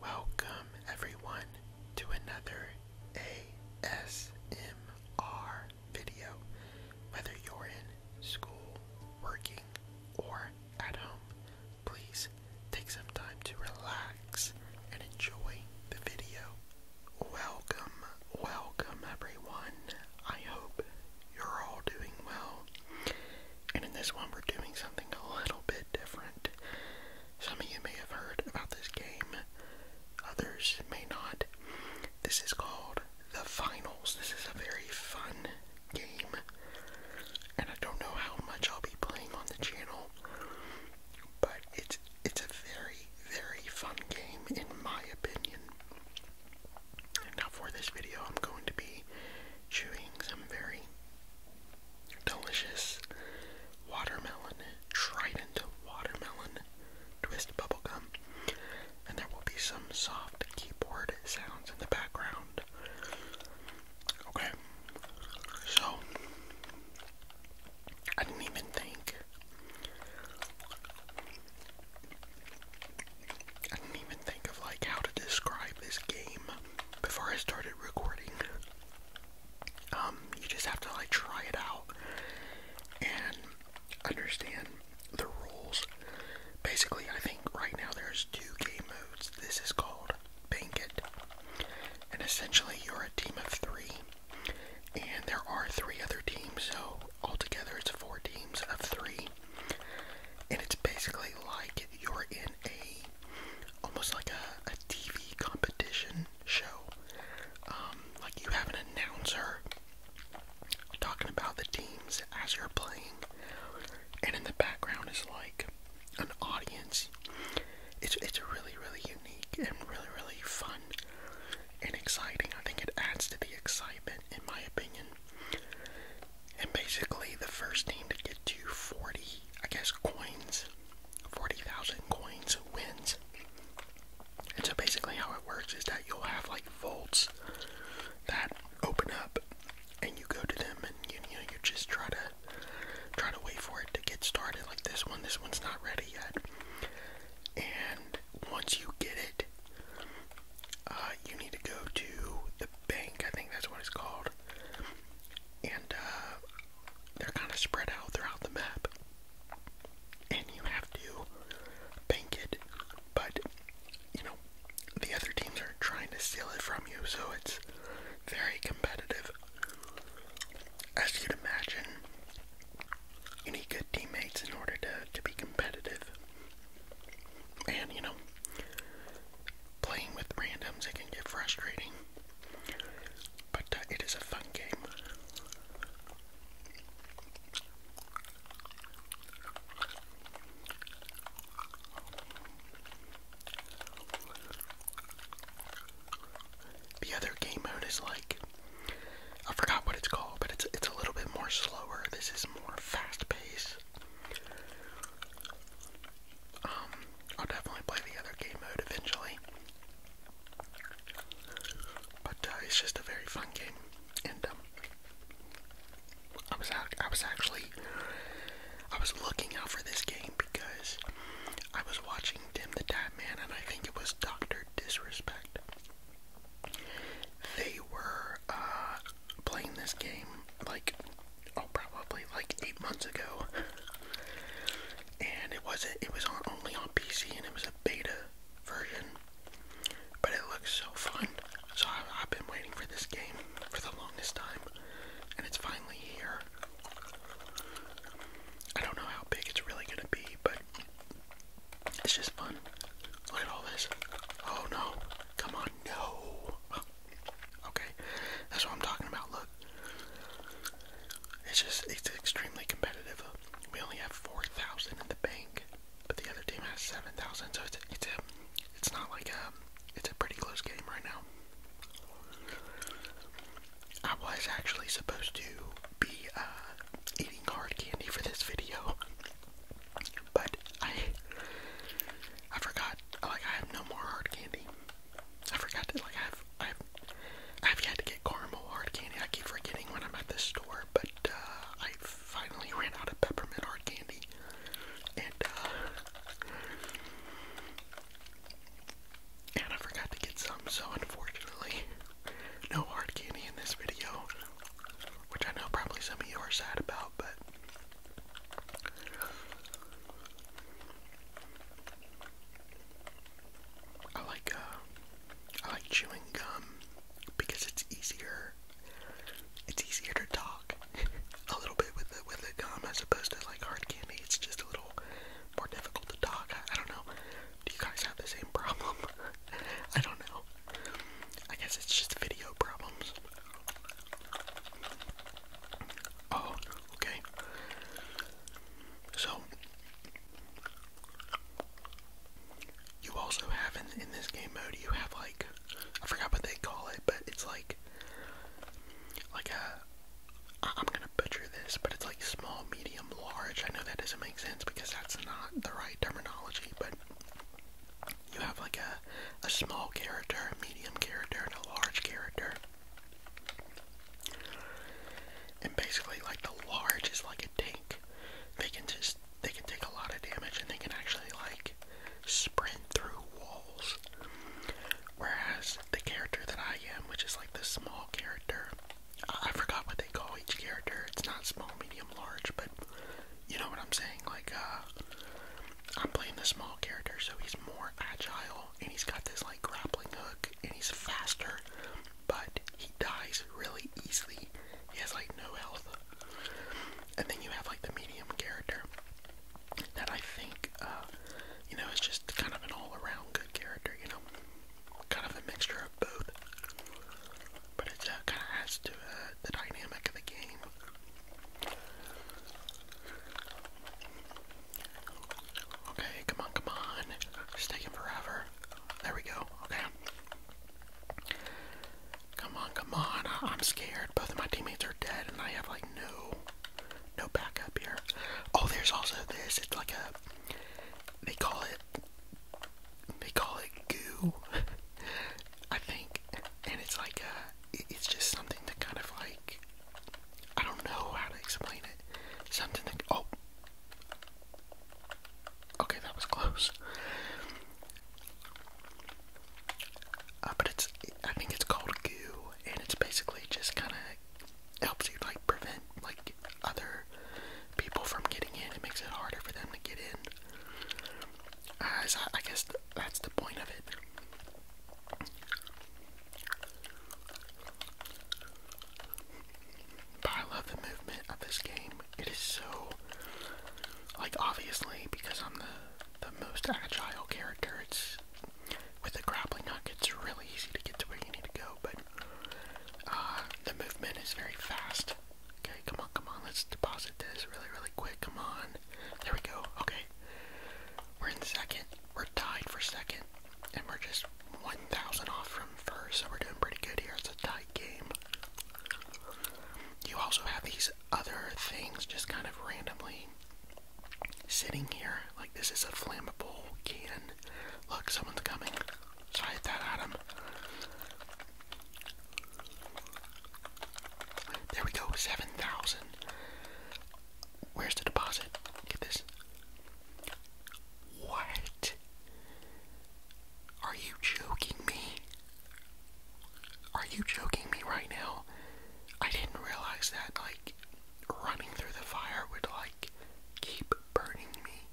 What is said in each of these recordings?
Welcome, everyone, to another ASMR video. Whether you're in school, working, or at home, please take some time to relax and enjoy the video. Welcome, welcome, everyone. I hope you're all doing well. And in this one, we're doing something a little bit different. Some of you may have heard about this game, others may not. This is called The Finals. This is a very fun game, and I don't know how much I'll be playing on the channel, but it's it's a very, very fun game in my opinion. Now for this video, I'm going to be chewing some very Delicious watermelon, Trident watermelon twist bubblegum. And there will be some soft keyboard sounds in the background. Okay, so I didn't even think. I didn't even think of like how to describe this game before I started recording. Um, you just have to like try it out and understand the rules. Basically, I think right now there's two game modes. This is called Bank It, and essentially you're a team of three, and there are three other teams, so altogether it's four teams of three, and it's basically like you're in a almost like a, a TV competition show. Um, like you have an announcer talking about the teams as you're playing, and in the background is like an audience. It's it's really really unique and really really fun and exciting. I think it adds to the excitement, in my opinion. And basically, the first team to get to 40, I guess, coins 40,000 coins wins. And so basically how it works is that you'll have like vaults that open up and you go to them and you, you know you just try to try to wait for it to get started like this one this one's not ready yet and once you get it uh, you need to go to the bank I think that's what it's called and uh, they're kind of spread out throughout the map, and you have to bank it, but you know, the other teams are trying to steal it from you, so it's very competitive. As you'd imagine, you need good teammates in order to, to be competitive. And, you know, playing with randoms, it can get frustrating. But uh, it is a fun game. The other game mode is like I forgot what it's called, but it's it's a little bit more slower. This is more fast paced. Um, I'll definitely play the other game mode eventually. But uh, it's just a very fun game, and um, I was I was actually I was looking out for this game because I was watching Tim the Tap Man, and I think it was Doctor Disrespect. They were uh, playing this game like oh, probably like eight months ago, and it wasn't. It was on only on PC, and it was a beta version. But it looks so fun. So I, I've been waiting for this game for the longest time, and it's finally here. I don't know how big it's really gonna be, but it's just fun. Look at all this. Oh no! Come on, no! Okay, that's what I'm talking about. Look, it's just it's extremely competitive. we only have four thousand in the bank, but the other team has seven thousand. So it's it's a it's not like a it's a pretty close game right now. I was actually supposed to be uh, eating hard candy for this video, but I I forgot. Like I have no more hard candy. I forgot to like I've I've I've yet to get caramel hard candy. I keep forgetting when I'm at the store, but uh, I finally ran out of peppermint hard candy, and uh, and I forgot to get some. So unfortunately, no hard candy in this video, which I know probably some of you are sad about, but I like uh, I like chewing gum because it's easier it's easier to talk a little bit with the with the gum as opposed to like hard candy it's just a little more difficult to talk. I don't know. Do you guys have the same problem? I don't know. I guess it's just video problems. Oh, okay. So, you also have in, this game mode, you have like, I forgot what they call it, but it's like, like a, I'm gonna butcher this, but it's like small, medium, large. I know that doesn't make sense because that's not the right terminology, but you have like a, a small character, a medium character, and a large character. And basically, like the large is like a tank. They can just they can take a lot of damage and they can actually like sprint through walls. Whereas the character that I am, which is like the small character, I, I forgot what they call each character. It's not small, medium, large, but you know what I'm saying. Like uh, I'm playing the small character, so he's more agile, and he's got this like grappling hook, and he's faster, but he dies really easily. He has like no health. And then you have like the medium character that I think, uh, you know, is just kind of an all-around good character. You know, kind of a mixture of both. But it's uh, kind of has to uh, the dynamic of the game. Okay, come on, come on. It's taking forever. There we go. Okay. Come on, come on. I'm scared. Both of my teammates are dead, and I have like no, no backup here. Oh, there's also this. It's like a. They call it. They call it goo. I think, and it's like a. It's just something to kind of like I don't know how to explain it. Something that. Oh! Okay, that was close. Uh, but it's. I think it's called goo, and it's basically just kind of helps you, like, prevent, like, other people from getting in. It makes it harder for them to get in. Uh, I guess that's the point of it. But I love the movement of this game. It is so, like, obviously, because I'm the, the most agile character, it's, with the grappling hook, it's really easy to get to where you need to go, but, uh, the movement is very fast. Okay, come on, come on, let's deposit this really, really quick, come on. There we go, okay. We're in second. We're tied for second. And we're just 1,000 off from first, so we're doing pretty good here. It's a tight game. You also have these other things just kind of randomly sitting here. Like this is a flammable can. Look, someone's coming. So I hit that Adam. There we go, 7,000. Where's the deposit? Get this. What? Are you joking me? Are you joking me right now? I didn't realize that, like, running through the fire would, like, keep burning me.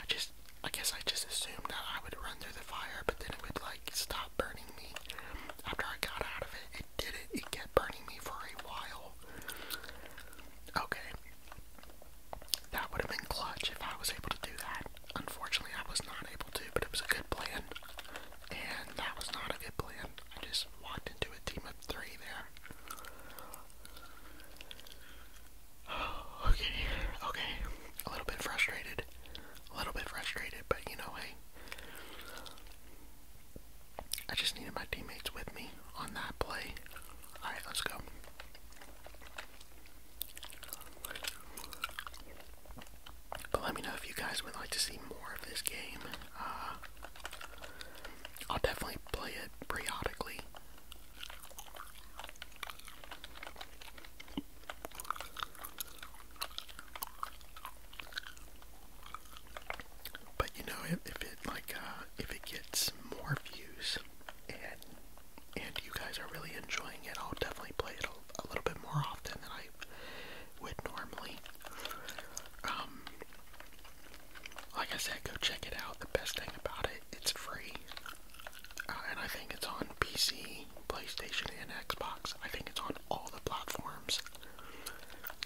I just, I guess I just assumed that I would run through the fire, but then it would, like, stop burning me after I got out of it, it didn't. It kept burning me for a while. Okay. That would have been clutch if I was able to do that. Unfortunately, I was not able to, but it was a good plan. And that was not a good plan. I just walked into a team of three there. Okay, okay. A little bit frustrated. A little bit frustrated, but you know, hey. I just needed my teammates with me on that play. Alright, let's go. But let me know if you guys would like to see more of this game. Uh, I'll definitely play it periodically. But you know, if, it like uh, if it gets more views and and you guys are really enjoying it, I'll definitely play it a, little bit more often than I would normally. Um, like I said, go check it out. The best thing about it, it's free, uh, and I think it's on PC, PlayStation, and Xbox. I think it's on all the platforms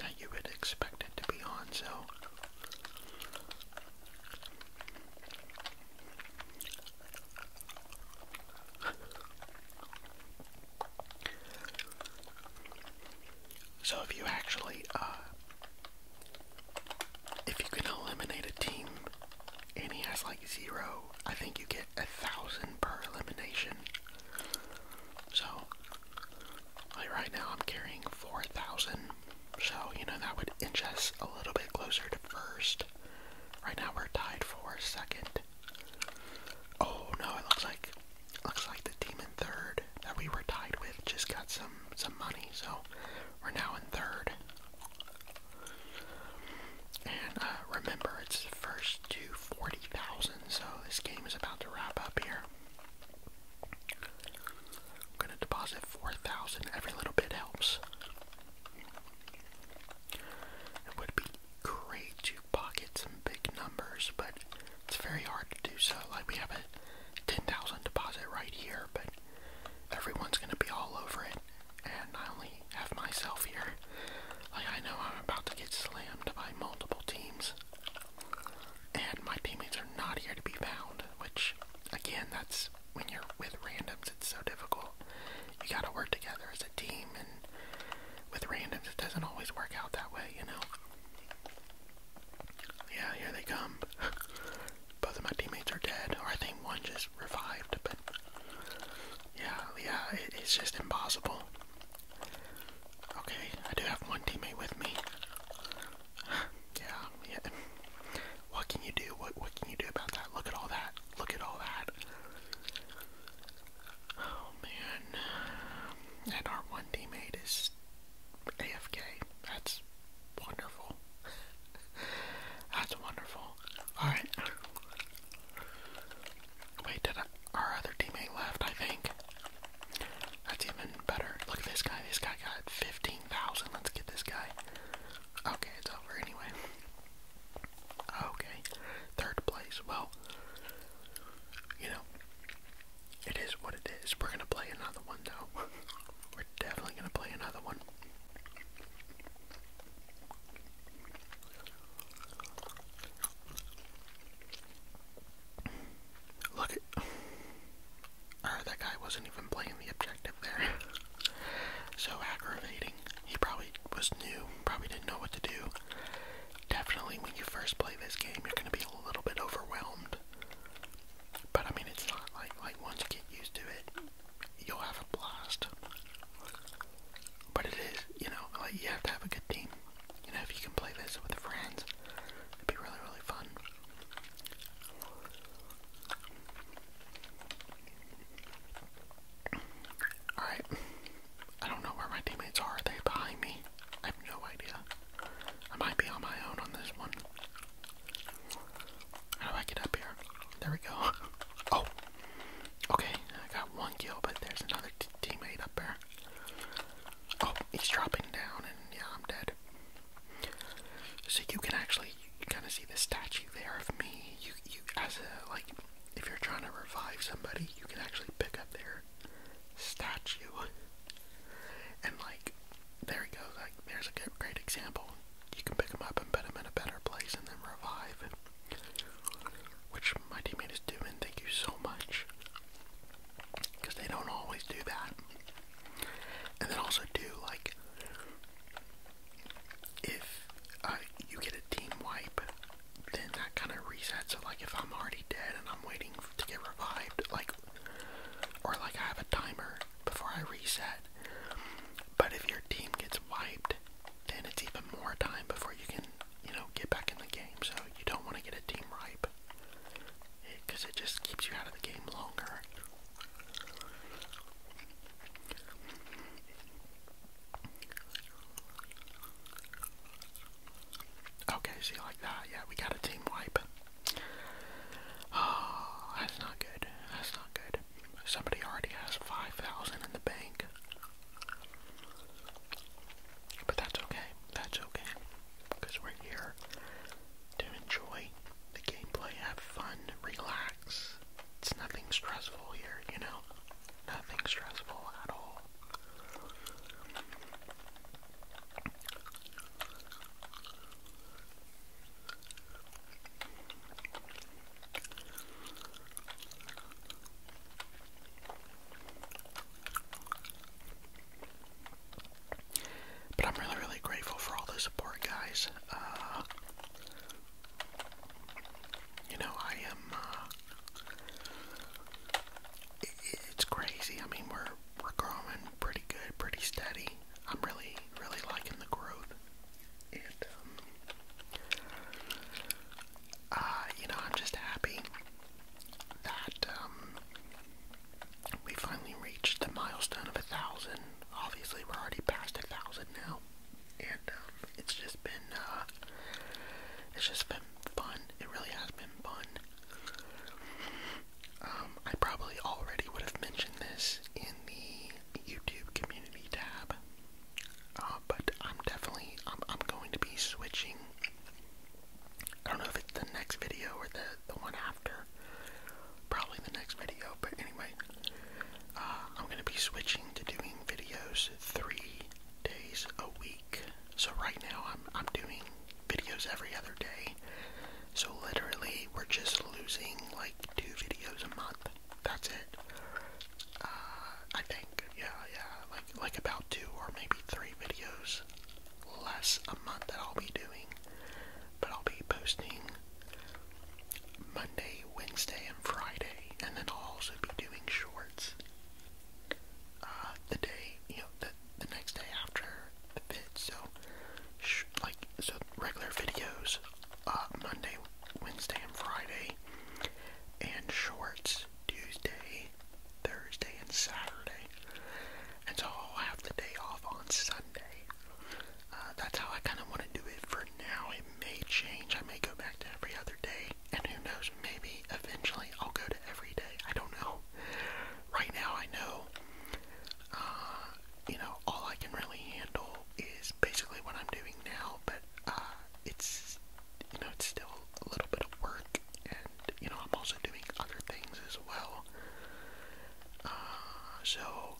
that you would expect it to be on, so so if you actually uh if you can eliminate a team and he has like zero, I think you get a thousand per elimination. So, like right now I'm carrying 4,000. So, you know, that would inch us a little bit closer to first. Right now we're tied for second. Oh no, it looks like looks like the demon third that we were tied with just got some some money, so we're now in third. And uh, remember, it's first to 40,000, so this game is about to wrap up here. I'm going to deposit 4,000. Every little bit helps. It would be great to pocket some big numbers, but it's very hard to do so. Like, we have a 10,000 deposit right here, but everyone's going to be all over it, and I only have myself here. Like, I know I'm about to get slammed by multiple teams, and my teammates are not here to be found, which, again, that's when you're with randoms, it's so difficult. You gotta work together as a team, and with randoms, it doesn't always work out that way, you know? Yeah, here they come. Both of my teammates are dead, or I think one just revived, but yeah, yeah, it's just impossible. Okay, I do have one teammate with me. yeah, yeah. What can you do? What what can you do about that? Look at all that. Look at all that. Oh man. And our one teammate is AFK. That's wonderful. That's wonderful. Alright. Wait, did our other teammate left, I think. That's even better. Look at this guy. This guy got 15,000. Let's get this guy. Okay, it's over anyway. Okay, third place. Well, you know, it is what it is. We're going to play another one, though. We're definitely going to play another one. Look at. that guy wasn't even playing the objective there. so aggravating. He probably was new, probably didn't know what to do. Definitely, when you first play this game, you're gonna be a little bit overwhelmed. But I mean, it's not like like once you get used to it, you'll have a blast. But it is, you know, you have to have a good team. You know, if you can play this with friends, it'd be really, really fun. Alright. I don't know where my teammates Are they behind me? I have no idea. I might be on my own on this one. How do I get up here? There we go. Oh! Okay, I got one kill, but there's another teammate up there there. Oh, he's dropping down, and yeah, I'm dead. So you can actually kind of see the statue there of me. You, you, as a like, if you're trying to revive somebody, you can actually pick up their statue, and like, there he goes. Like, there's a good, great example. You can pick him up and put him in a better place, and then revive. Which my teammate is doing, thank you so much. Because they don't always do that. And then also, do like, if uh, you get a team wipe, then that kind of resets it. Like, if I'm already dead and I'm waiting to get revived, like, or like I have a timer before I reset. But if your team gets wiped, then it's even more time before you can you know, get back in the game. So you don't want to get a team wipe, because it, it just keeps you out of the game longer. Okay, see, like that, yeah, we got a team wipe. Oh, that's not good. That's not good. Somebody already has 5,000 in the bank. But that's okay. That's okay. Because we're here to enjoy the gameplay, have fun, relax. It's nothing stressful here, you know? Nothing stressful at all. But I'm really, really grateful for all the support, guys. Uh, you know, I am. Uh, it's crazy. I mean, we're we're growing pretty good, pretty steady. I'm really, really liking the growth, um, uh, you know, I'm just happy that um, we finally reached the milestone of a thousand. Obviously, we're already past a thousand now, and um, it's just been uh, it's just been fun. It really has been fun. Um, I probably already would have mentioned this in the YouTube community tab, uh, but I'm definitely I'm I'm going to be switching. I don't know if it's the next video or the the one after. Probably the next video, but anyway, uh, I'm gonna be switching to doing videos three days a week. So right now I'm I'm doing videos every other day. So literally we're just losing like two videos a month. That's it. Uh, I think yeah yeah like about two or maybe three videos less a month that I'll be doing. But I'll be posting Monday, Wednesday, and Friday, and then I'll also be doing shorts. Uh, the day, you know, the the next day after the fit. So, like, so regular videos, uh, Monday, Wednesday, and Friday, and shorts Tuesday, Thursday, and Saturday. And so I'll have the day off on Sunday. Uh, that's how I kind of want to do it for now. It may change. I may go back to every other day. And who knows, maybe eventually I'll go to every day. I don't know. Right now I know, uh, you know, all I can really handle is basically what I'm doing now. But uh, it's you know it's still a little bit of work, and you know I'm also doing other things as well. Uh, so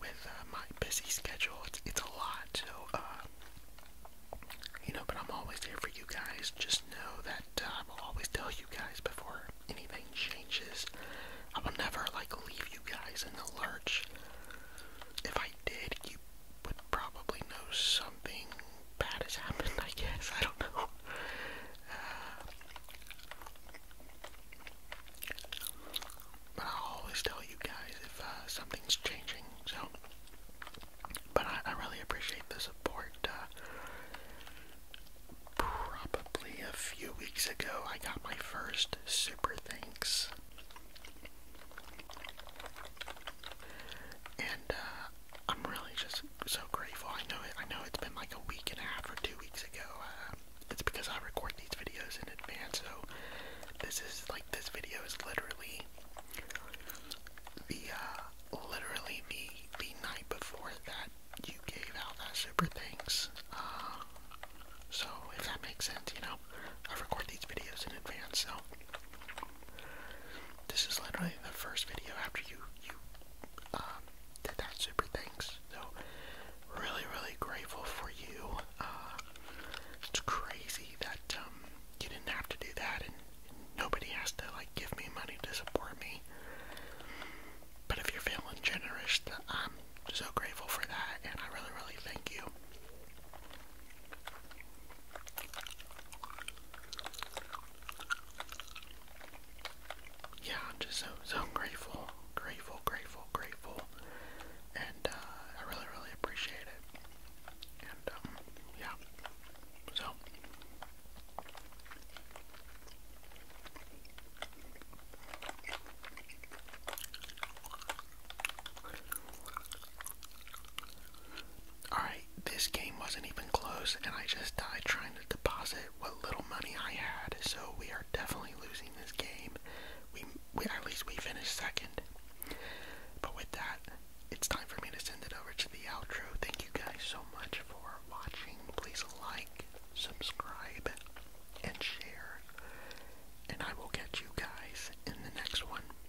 with uh, my busy schedule, it's it's a lot. So uh, you know, but I'm always here for you guys. Just know that I will always tell you guys before anything changes. I will never like leave you guys in the lurch. If I I did, you would probably know something bad has happened, I guess. I don't know. Uh, but i always tell you guys if uh, something's changing, so. But I, I really appreciate the support. Uh, probably a few weeks ago, I got my first Super Thanks and uh, I'm really just so grateful. I know it. I know it's been like a week and a half or two weeks ago. Uh, it's because I record these videos in advance, so this is like this video is literally the uh, literally the the night before that you gave out that super thanks. so if that makes sense, you know, I record these videos in advance, so this is literally the first video after you you um, did that super thanks. So really really grateful for you. Uh, it's crazy that um, you didn't have to do that and nobody has to like give me money to support me. But if you're feeling generous, I'm so grateful for that and I really really thank you. Yeah, i just so so grateful, grateful, grateful, grateful, and uh, I really, really appreciate it. And um, yeah, so. Alright, this game wasn't even close, and I just died trying to deposit what little money I had, so we are definitely losing this game. We, we at least we finished second. But with that, it's time for me to send it over to the outro. Thank you guys so much for watching. Please like, subscribe, and share. And I will catch you guys in the next one.